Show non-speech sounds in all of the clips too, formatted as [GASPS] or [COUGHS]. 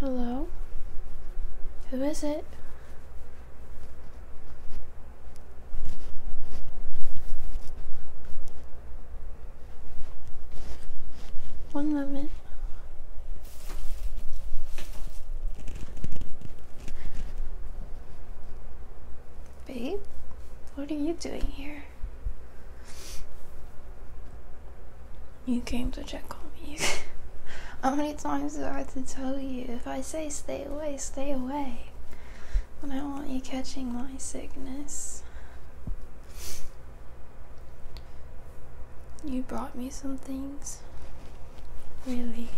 Hello? Who is it? One moment. Babe, what are you doing here? You came to check on me. [LAUGHS] How many times do I have to tell you? If I say stay away, stay away. But I don't want you catching my sickness you brought me some things. Really?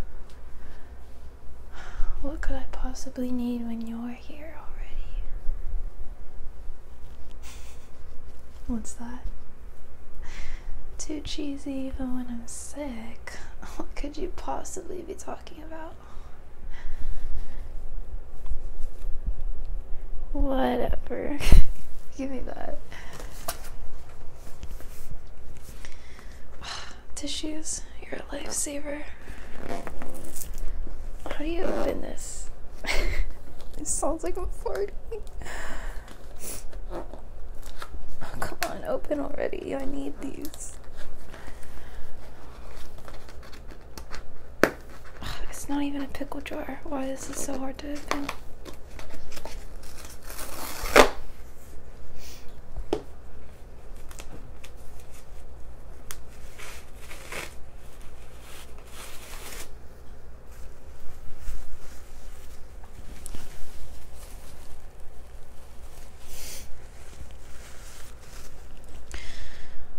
[LAUGHS] what could I possibly need when you're here already? [LAUGHS] What's that? Too cheesy even when I'm sick. [LAUGHS] What could you possibly be talking about? Whatever. [LAUGHS] Give me that. [SIGHS] Tissues, you're a lifesaver. How do you open this? [LAUGHS] it sounds like I'm farting. [SIGHS] Oh, come on, open already. I need these. It's not even a pickle jar. Why is this so hard to open?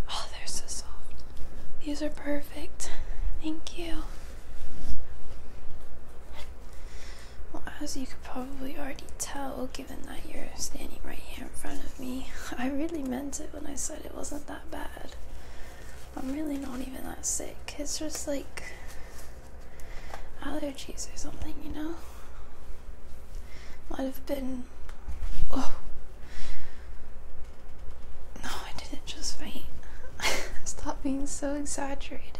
Oh, they're so soft. These are perfect perfect. Thank you. Well, as you could probably already tell, given that you're standing right here in front of me, [LAUGHS] I really meant it when I said it wasn't that bad. I'm really not even that sick. It's just like allergies or something, you know? Might have been. Oh, no, I didn't just faint. [LAUGHS] Stop being so exaggerated.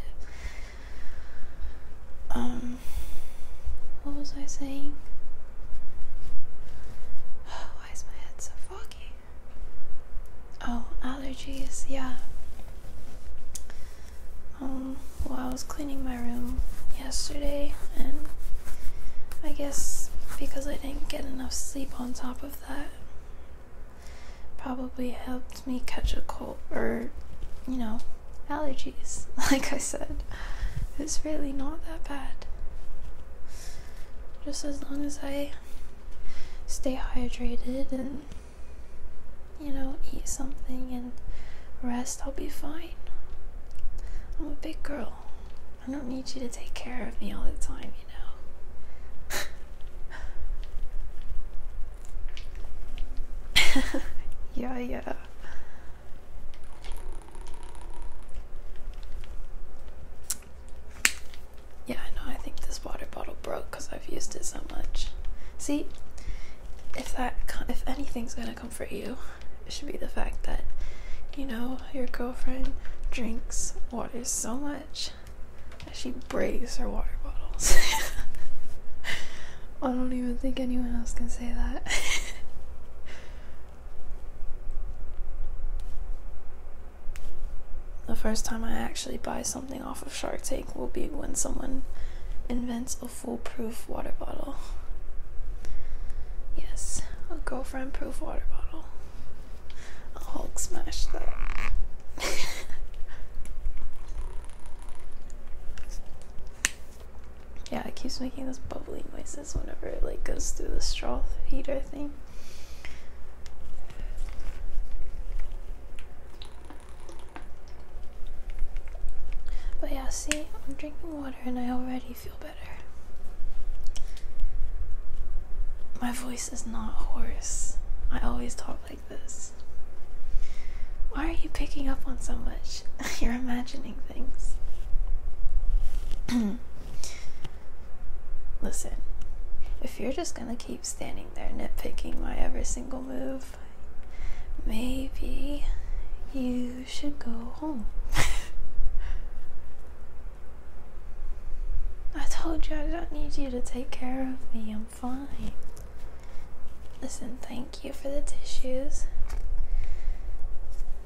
Um, what was I saying? Oh, why is my head so foggy? Oh, allergies, yeah. Um, well, I was cleaning my room yesterday, and I guess because I didn't get enough sleep on top of that probably helped me catch a cold or, you know, allergies. [LAUGHS] Like I said, it's really not that bad. Just as long as I stay hydrated and, you know, eat something and rest, I'll be fine. I'm a big girl. I don't need you to take care of me all the time, you know. [LAUGHS] yeah, yeah. Yeah, I know. I think this water bottle broke because I've used it so much. See, if that, if anything's gonna comfort you, should be the fact that you know your girlfriend drinks water so much that she breaks her water bottles. [LAUGHS] I don't even think anyone else can say that. [LAUGHS] the first time I actually buy something off of Shark Tank will be when someone invents a foolproof water bottle. Yes, i a girl girlfriend proof water bottle. i Hulk smash that. [LAUGHS] yeah, it keeps making those bubbly noises whenever it like goes through the straw heater thing. But yeah, see, I'm drinking water and I already feel better. My voice is not hoarse. I always talk like this. Why are you picking up on so much? [LAUGHS] You're imagining things. [CLEARS THROAT] Listen, if you're just gonna keep standing there nitpicking my every single move, maybe you you should go home. [LAUGHS] I told you I don't need you to take care of me. I'm fine. Listen, thank you for the tissues.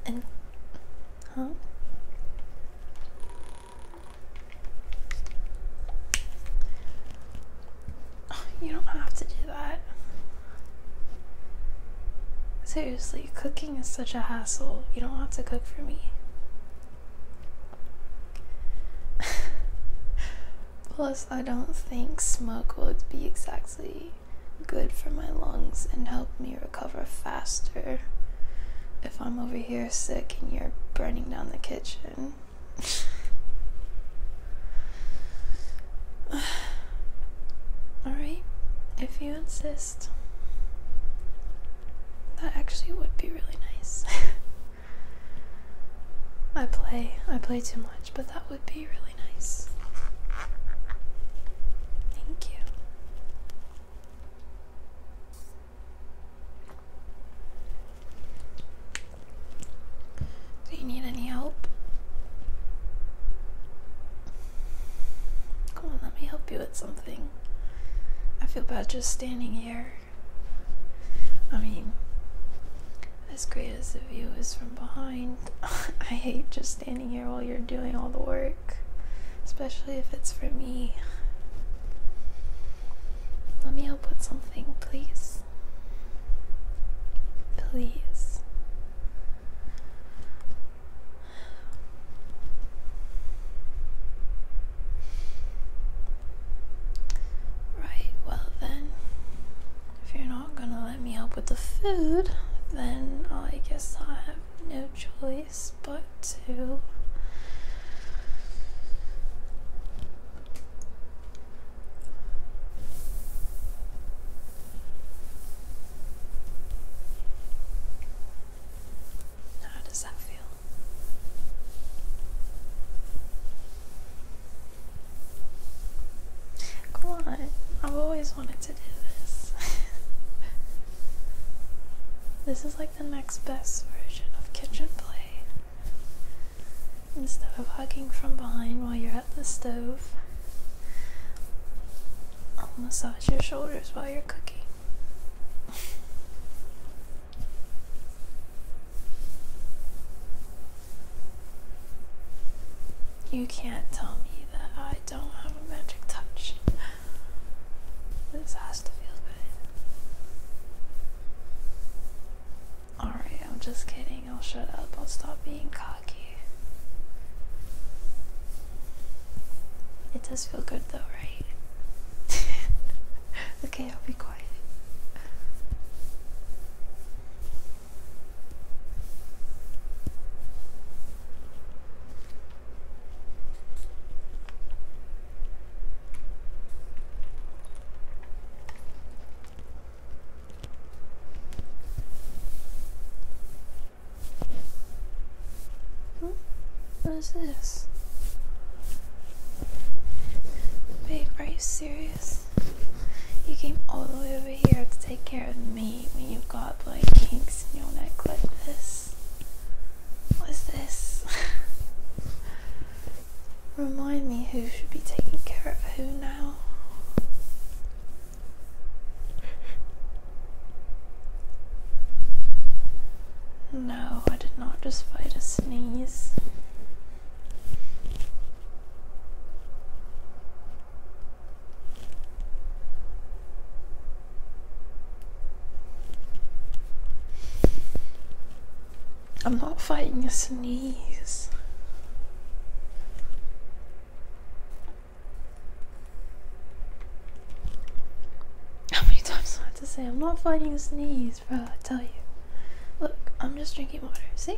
And. Huh? [SIGHS] you don't have to do that. Seriously, cook is such a hassle. You don't have to cook for me. [LAUGHS] Plus, I don't think smoke would be exactly good for my lungs and help me recover faster if I'm over here sick and you're burning down the kitchen. [SIGHS] [SIGHS] Alright, if you insist. That actually would be really nice. [LAUGHS] I play, I play too much, but that would be really nice. Thank you. Do you need any help? Come on, let me help you with something. I feel bad just standing here. I mean, as great as the view is from behind, [LAUGHS] I hate just standing here while you're doing all the work, especially if it's for me. Let me help with something, please. Please. Right, well then, if you're not gonna let me help with the food, then I guess I have no choice but to. How does that feel? Come on, I've always wanted to do this. [LAUGHS] this is like the next best version of kitchen play. Instead of hugging from behind while you're at the stove. I'll massage your shoulders while you're cooking. You can't tell me that I don't have a magic touch. This has to feel good. Alright, I'm just kidding. I'll shut up. I'll stop being cocky. It does feel good though, right? [LAUGHS] okay, I'll be quiet. Hmm? What is this? Babe, are you serious? You came all the way over here to take care of me when you've got like kinks in your neck like this. What is this? [LAUGHS] Remind me who should be taking care of who now. No, I did not just fight a sneeze. I'm not fighting a sneeze. How many times do I have to say I'm not fighting a sneeze, bro? I tell you. Look, I'm just drinking water. See?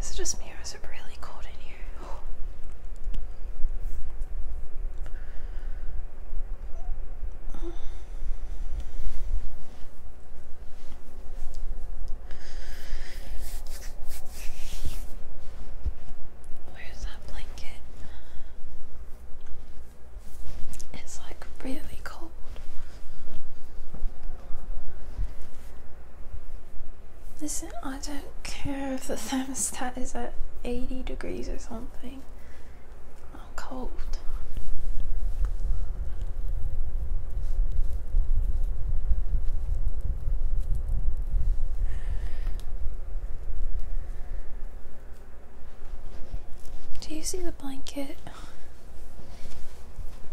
Is just me or really cold in here? Where's that blanket? It's like really cold. Listen, I don't care if the thermostat is at 80 degrees or something. I'm cold. Do you see the blanket?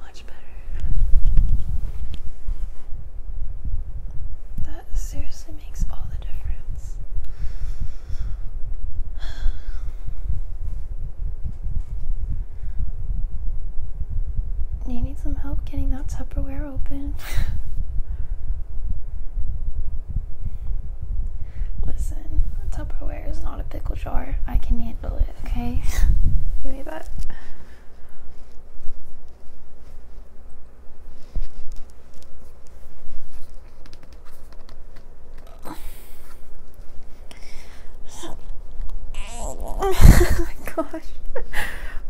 Much better. That seriously makes all the difference. You need some help getting that Tupperware open. [LAUGHS] Listen, Tupperware is not a pickle jar. I can handle it okay? Give me that. [LAUGHS] oh my gosh.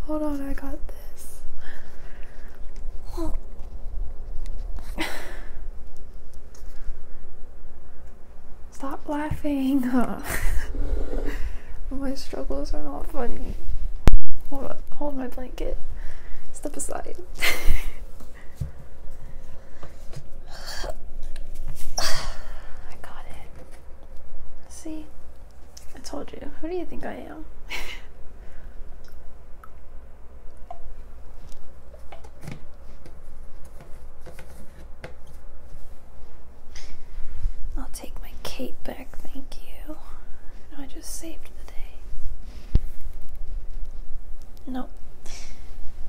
Hold on, I got this. Stop laughing. [LAUGHS] my struggles are not funny. Hold my blanket. Step aside. [LAUGHS] I got it. See? I told you. Who do you think I am? [LAUGHS] I'll take my cape back, thank you. I just saved the day. No,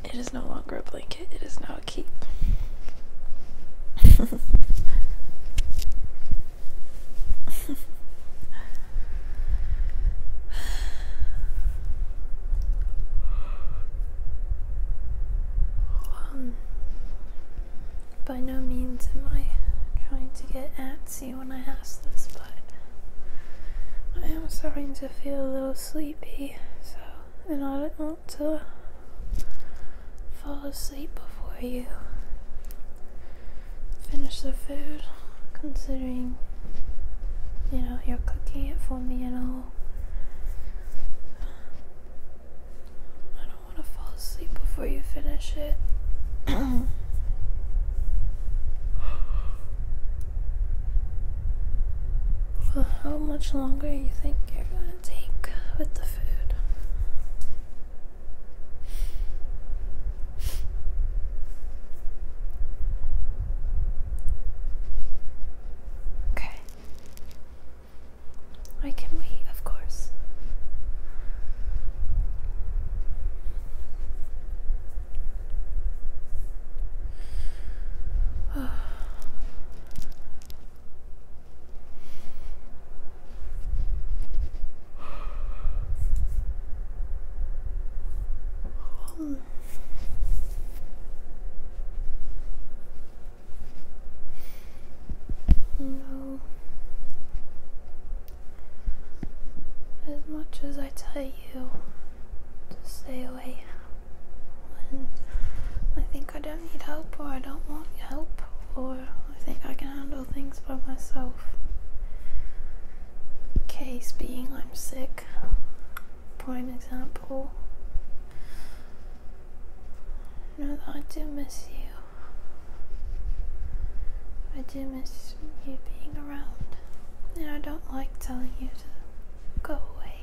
it is no longer a blanket, it is now a cape. [LAUGHS] Um, by no means am I trying to get antsy when I ask this, but I am starting to feel a little sleepy, so and I don't want to fall asleep before you finish the food, considering you know you're cooking it for me and all. I don't want to fall asleep before you finish it. [GASPS] how much longer do you think you're going to take with the food? Okay. I can wait, of course. [SIGHS] Oh. No. As much as I tell you to stay away when I think I don't need help or I don't want help or I think I can handle things by myself. Case being I'm sick for an example. No, I do miss you. I do miss you being around. And I don't like telling you to go away.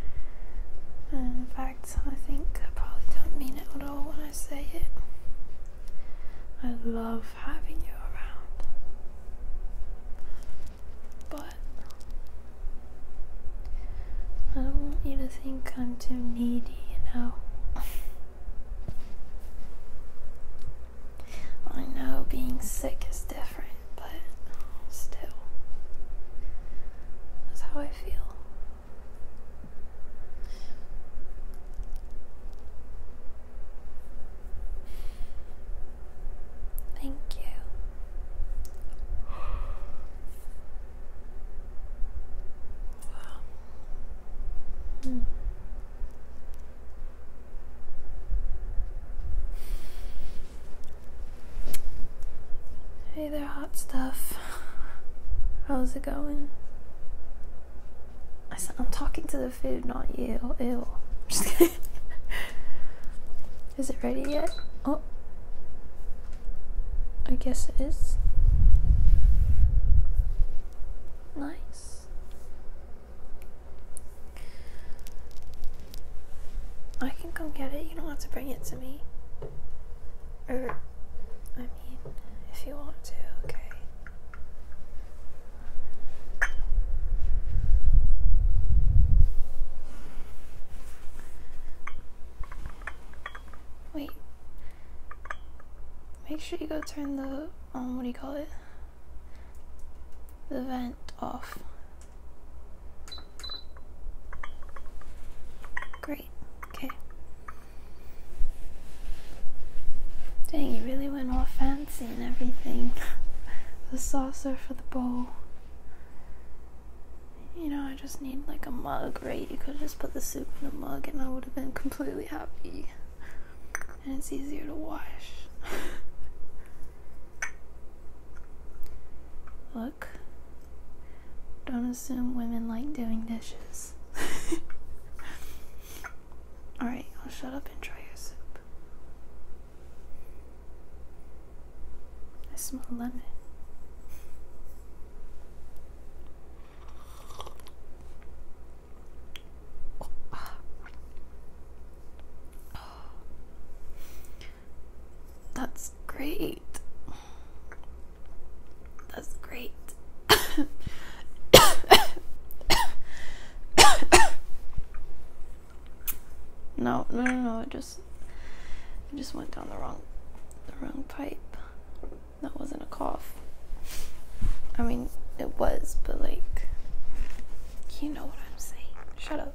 [LAUGHS] in fact, I think I probably don't mean it at all when I say it. I love having you around but I don't want you to think I'm too needy, you know. [LAUGHS] I know being sick is different, but still, that's how I feel. Thank you. Wow. Hmm. Hey there, hot stuff. [LAUGHS] How's it going? I am talking to the food, not you. Ew. [LAUGHS] Is it ready yet? Oh. I guess it is. Nice. I can go get it. You don't have to bring it to me. Or, I mean, if you want to, okay. Wait. Make sure you go turn the, um, what do you call it? The vent off. Great. Okay. Dang, you really went off fast and everything. [LAUGHS] the saucer for the bowl. You know, I just need like a mug, right? You could just put the soup in a mug and I would have been completely happy. And it's easier to wash. [LAUGHS] Look, don't assume women like doing dishes. [LAUGHS] Alright, I'll shut up and try your soup. I smell lemon. Oh, That's great. That's great. [COUGHS] [COUGHS] [COUGHS] no, no, no, It just, it just went down the wrong, the wrong pipe. That wasn't a cough. I mean, it was, but like, you know what I'm saying. Shut up.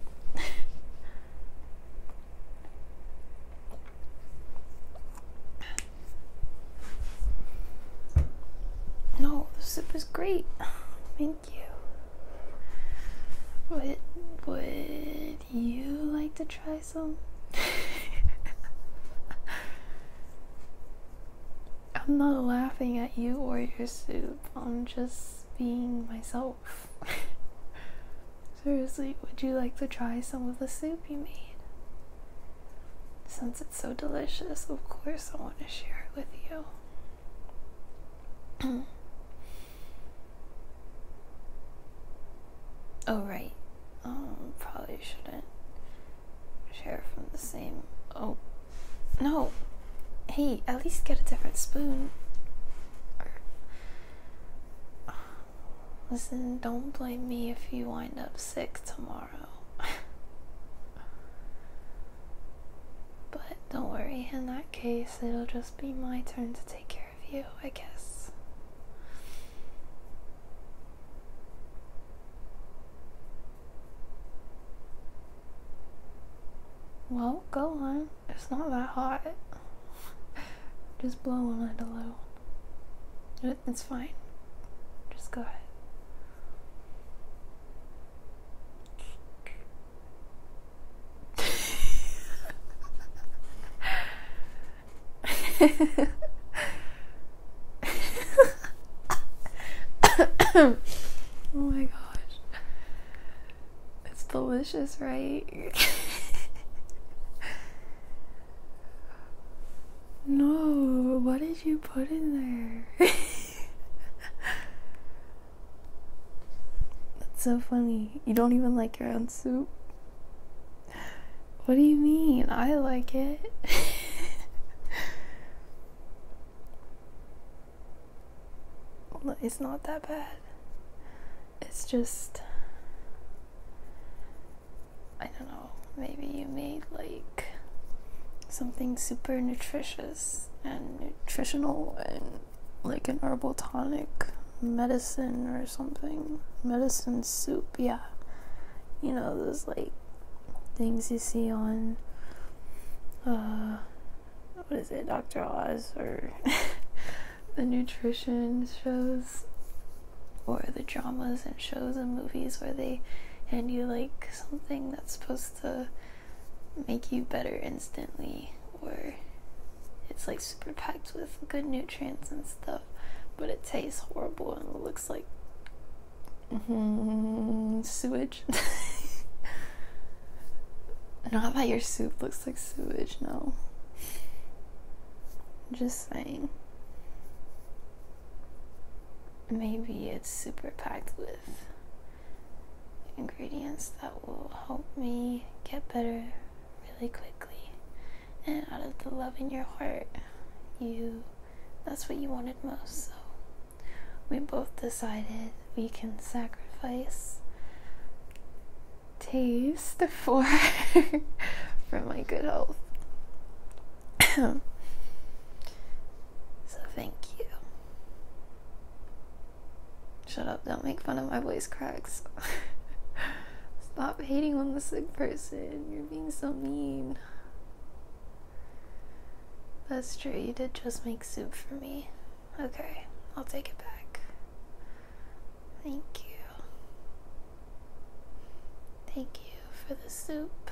[LAUGHS] no, the sip great. [SIGHS] Thank you. Would, would you like to try some? [LAUGHS] I'm not laughing at you or your soup. I'm just being myself. [LAUGHS] Seriously, would you like to try some of the soup you made? Since so delicious. Of course, I want to share it with you. [CLEARS THROAT] oh, right. Um, probably shouldn't share from the same. Oh, no. Hey, at least get a different spoon. Listen, don't blame me if you wind up sick tomorrow. [LAUGHS] but don't worry, in that case, it'll just be my turn to take care of you, I guess. Well, go on. It's not that hot. [LAUGHS] Just blow on it little. It's fine. Just go ahead oh my gosh. It's delicious, right? [LAUGHS] No, what did you put in there? [LAUGHS] That's so funny. You don't even like your own soup. What do you mean? I like it. [LAUGHS] it's not that bad. It's just I don't know, maybe you made like something super nutritious and nutritional and like an herbal tonic medicine or something. Medicine soup, yeah. You know, those like things you see on uh what is it, Dr. Oz or [LAUGHS] the nutrition shows or the dramas and shows and movies where they and you like something that's supposed to make you better instantly or it's like super packed with good nutrients and stuff but it tastes horrible and looks like mm-hmm. sewage [LAUGHS] not that your soup looks like sewage no just saying maybe it's super packed with ingredients that will help me get better really quickly. And out of the love in your heart, you that's what you wanted most. So we both decided we can sacrifice taste [LAUGHS] for for my good health so thank you. Shut up, don't make fun of my voice cracks. [LAUGHS] Stop hating on the sick person. You're being so mean. That's true, you did just make soup for me. Okay, I'll take it back. Thank you. Thank you for the soup.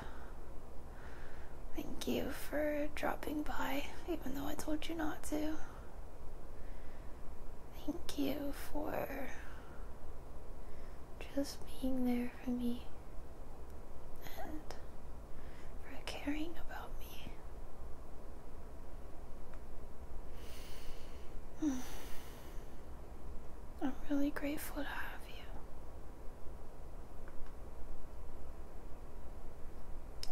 Thank you for dropping by, even though I told you not to. Thank you for just being there for me and for caring about me. [SIGHS] [SIGHS] I'm really grateful to have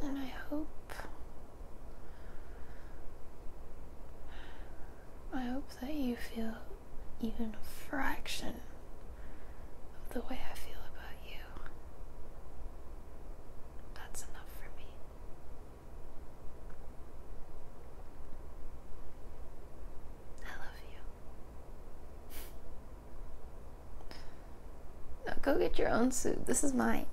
you. And I hope. I hope that you feel even a fraction of the way I feel about you. That's enough for me. I you. go get your own suit. This is mine.